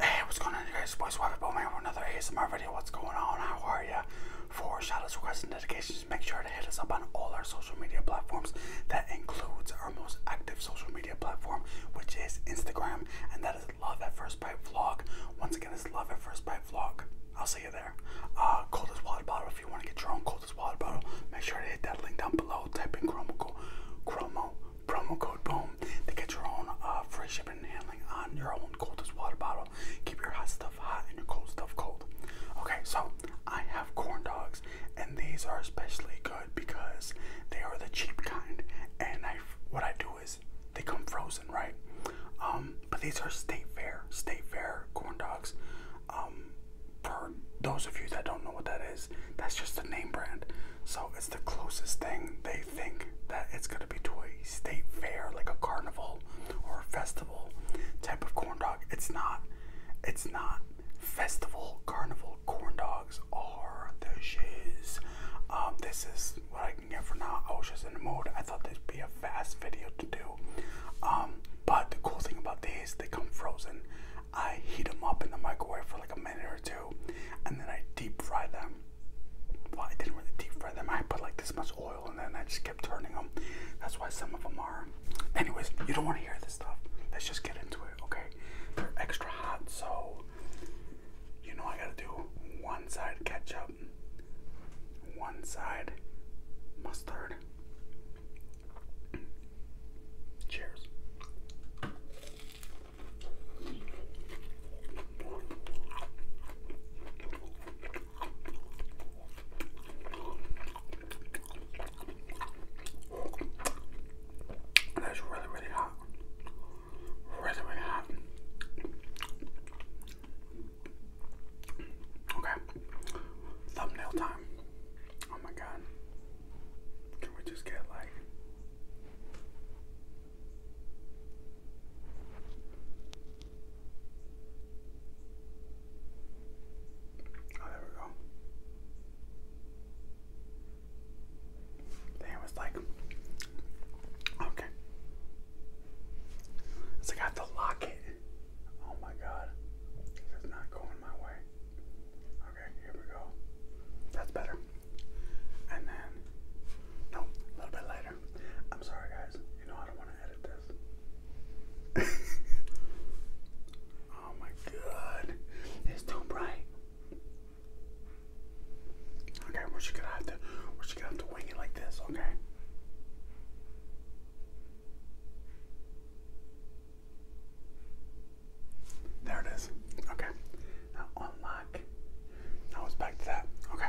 Hey, what's going on you guys? Boys Waffle Bowman with another ASMR video. What's going on? How are ya? For shoutouts, requests, and dedications, make sure to hit us up on all our social media platforms. That includes our most active social media platform, which is Instagram, and that is Love that First Bite Vlog. Once again, it's Love at First Bite Vlog. I'll see you there. Uh, coldest water bottle. If you want to get your own coldest water bottle, make sure to hit that link down below. Type in promo code, promo, promo code boom to get your own uh, free shipping and handling on your own coldest water bottle. Keep your hot stuff hot and your cold stuff cold. Okay, so I have corn dogs, and these are especially good because they are the cheap kind. And I, what I do is they come frozen, right? Um, but these are state fair, state fair corn dogs. Um, for those of you that don't know what that is, that's just a name brand. So it's the closest thing they think that it's gonna be to a state fair, like a carnival or festival type of corn dog. It's not. It's not festival, carnival, corn dog. Or the shiz. Um, this is what I can get for now. I was just in the mood. I thought this'd be a fast video to do. Um, but the cool thing about these, they come frozen. I heat them up in the microwave for like a minute or two, and then I deep fry them. Well, I didn't really deep fry them. I put like this much oil, and then I just kept turning them. That's why some of them are. Anyways, you don't want to hear this stuff. Let's just get into it, okay? They're extra hot, so you know I gotta do one side ketchup, one side mustard. Cheers. That's really, really hot. Really, really hot. Okay. Thumbnail time. Oh my god. Can we just get like. Oh, there we go. They was like, okay. It's I have to lock Oh my god. This is not going my way. Okay, here we go. That's better. And then, no, a little bit later. I'm sorry, guys. You know, I don't want to edit this. Oh my god. It's too bright. Okay, we're just gonna have to we're just gonna have to wing it like this, okay? There it is. Okay. Now unlock. Now it's back to that. Okay.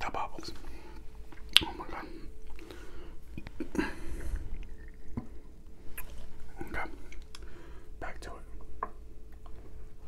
the bubbles. Oh my god. Okay. Back to it.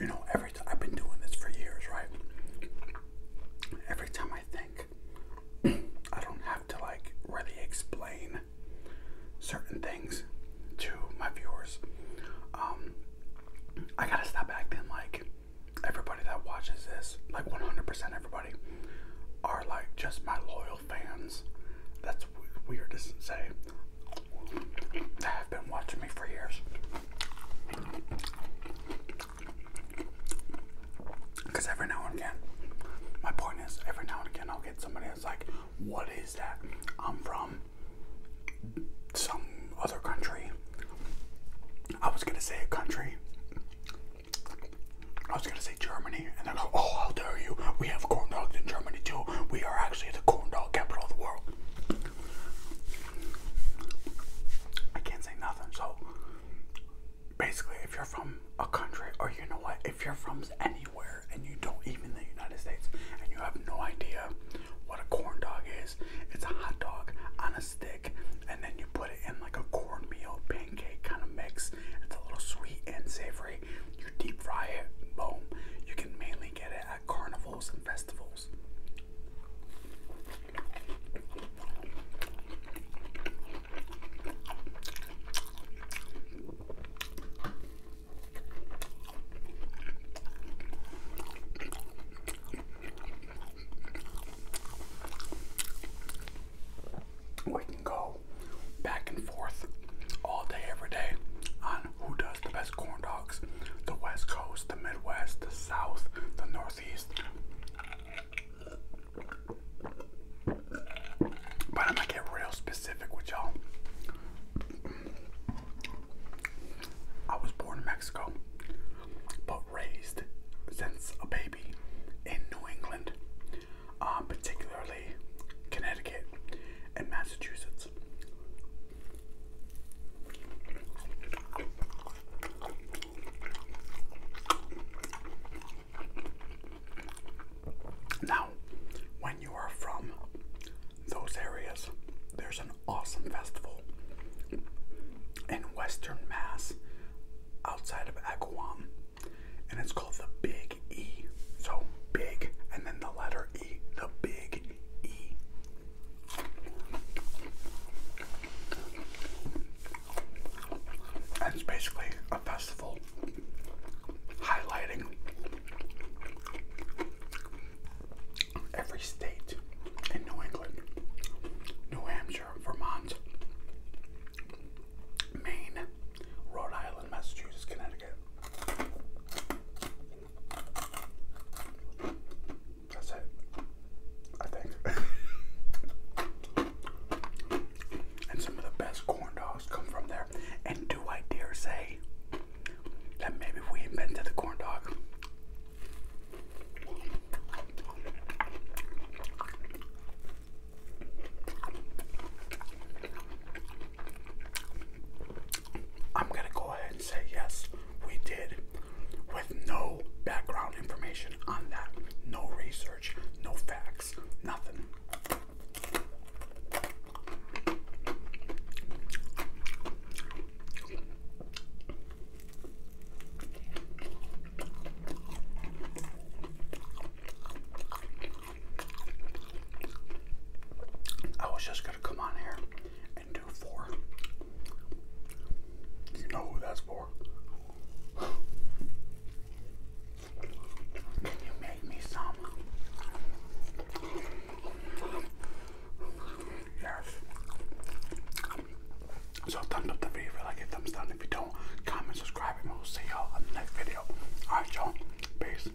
You know, every time I've been doing this for years, right? Every time I think, I don't have to like really explain certain things to my viewers. Um, I gotta stop acting like everybody that watches this, like 100% everybody, are like just my loyal fans. That's weird to say. That have been watching me for years. Because every now and again, my boy Every now and again, I'll get somebody that's like, What is that? I'm from some other country. I was gonna say a country. I was gonna say Germany, and they're like, "Oh, how dare you! We have corn dogs in Germany too. We are actually the corn dog capital of the world." I can't say nothing. So basically, if you're from a country, or you know what, if you're from anywhere and you don't even the United States and you have no idea what a corn dog is, it's a hot dog on a stick, and then you put it in like a cornmeal pancake kind of mix. It's a little sweet and savory. You deep fry it, boom. You can mainly get it at carnivals and festivals. We can go back and forth all day, every day on who does the best corn dogs the West Coast, the Midwest, the South, the Northeast. But I'm gonna get real specific with y'all. I was born in Mexico, but raised since a baby in New England, uh, particularly Connecticut and Massachusetts. Now, when you are from those areas, there's an awesome festival in Western Mass outside of Agawam, and it's called the Big E. So, big and then the letter E, the Big E and it's basically a festival highlighting every state in New England, New Hampshire, Vermont, Maine, Rhode Island, Massachusetts, Connecticut. That's it. I think. and some of the best corn dogs come from there. And do I dare say that maybe we invented the corn dog? I'm gonna go ahead and say yes, we did, with no background information on that, no research, no facts, nothing. I was just gonna come on here and do four. You know who that's for. Can you make me some? Yes. So thumbs up the video like it, thumbs down. If you don't, comment, subscribe, and we'll see y'all on the next video. Alright y'all, peace.